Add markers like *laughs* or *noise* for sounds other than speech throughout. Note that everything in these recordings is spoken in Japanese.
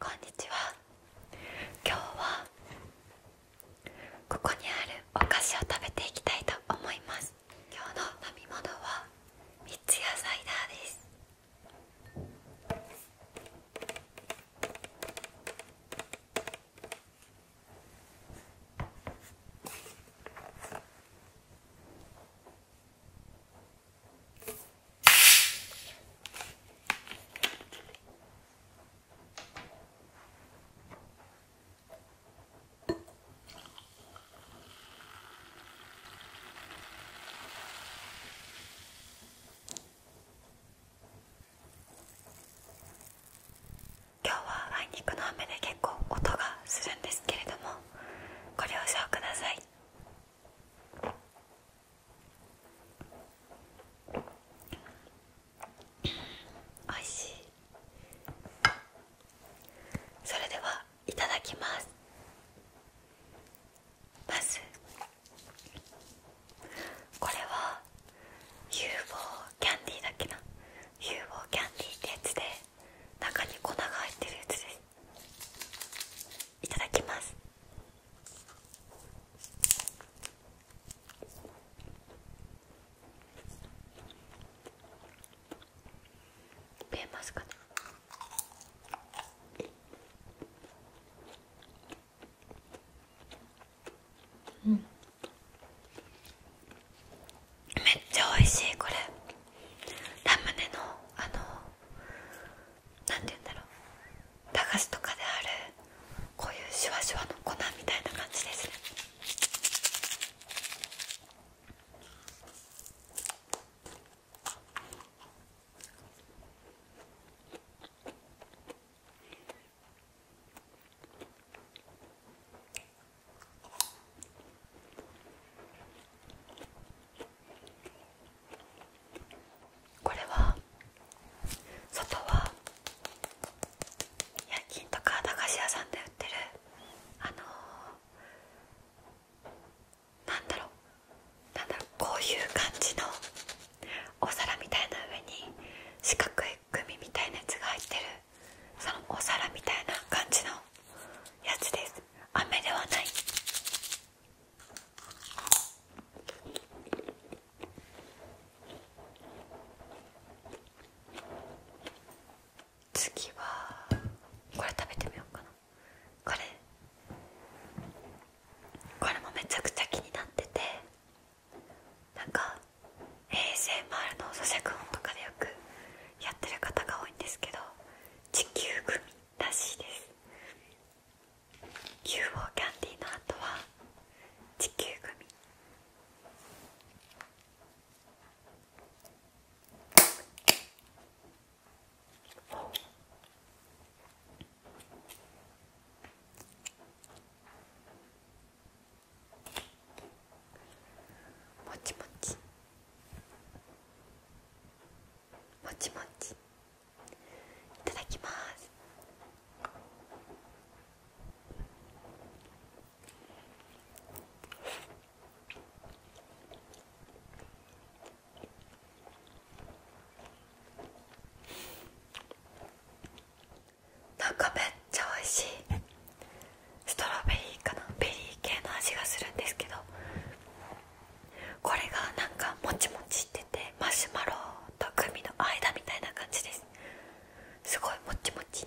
こんにちは今日はここにあるお菓子を食べていきたいと思います今日の飲み物は三ツ矢サイダーです今日はあいにくの雨で結構音がするんですけれどもご了承ください。おいしいそれではいただきますまずこれは UFO キャンディーだっけな UFO キャンディーってやつで中に粉が入ってるやつですいただきます見えますかめっちゃ美味しいこれラムネのあの何て言うんだろう駄菓子とかであるこういうシュワシュワの粉みたいな感じですねこれは外はヤンキーとか駄菓子屋さんで売ってるあのー、なんだろうなんだろうこういう感じのお皿みたいな上に四角いグミみたいなやつが入ってるそのお皿みたいな感じのやつです飴ではない次はこれ食べてみようかなこれこれもめちゃくちゃ気になっててなんか ASMR の咀嚼音とかでよくやってる方が多いんですけど地球グらしいです UFO キャンディーの後は地球組もちもちもちもちいただきますなんかめっちゃ美味しいストロベリーかなベリー系の味がするんですけどこれがなんかもちもちっててマシュマロとグミの間みたいな感じですすごいもちもち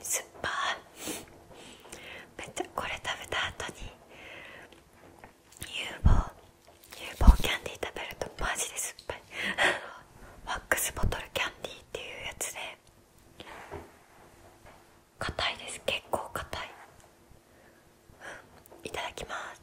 酸っぱい。めっちゃこれ食べた後に有望有望キャンディー食べるとマジで酸っぱいワックスボトルキャンディーっていうやつで硬いです結構硬い、いただきます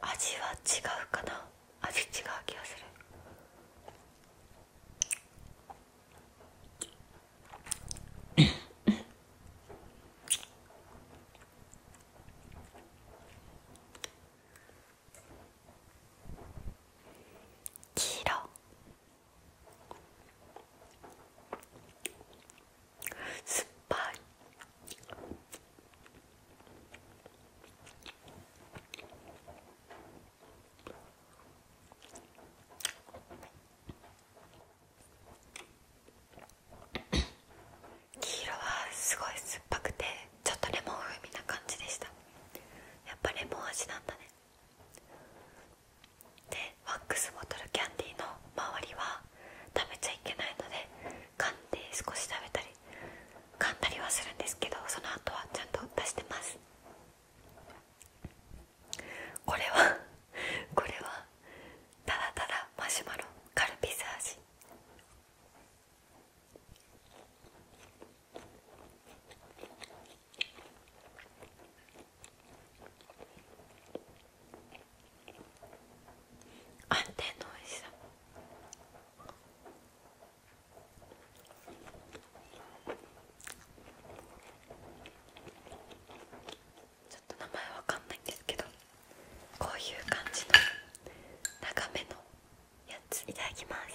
味は違うかな味違う気がする黄色すっぱい黄色はすごい酸っぱくてちょっとレモン風味な感じでしたやっぱレモン味なんだねでワックスボトルキャンディーの周りは食べちゃいけないので噛んで少し食べたり噛んだりはするんですけどその後はちゃんと出してますこれは *laughs* これはただただマシュマロカルピス味安定の美味しさちょっと名前わかんないんですけどこういう感じの長めのやついただきます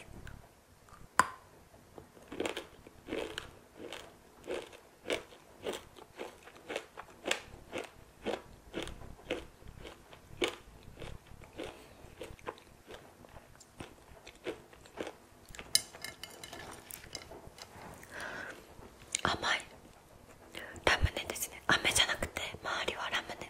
甘いラムネですね飴じゃなくて周りはラムネ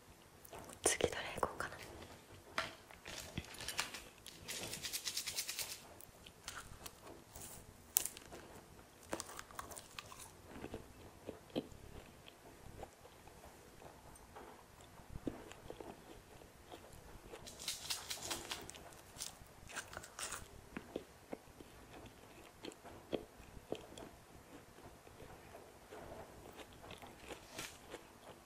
次どれ行こうかな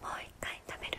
もう一回食べる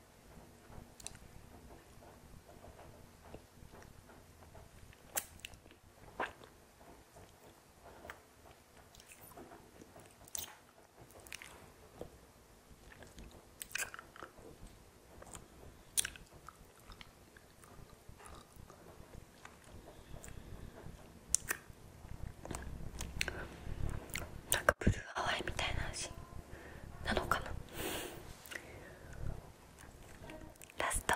なんかブルーハワイみたいな味なのかなラスト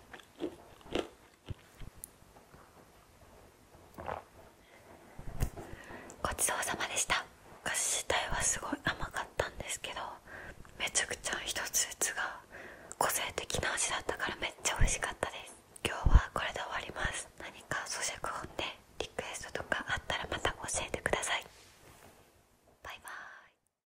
ごちそうさまでしたお菓子自体はすごい甘かったんですけどめちゃくちゃ一つずつが個性的な味だったからめっちゃ美味しかったです今日はこれで終わります何か咀嚼本でリクエストとかあったらまた教えてくださいバイバーイ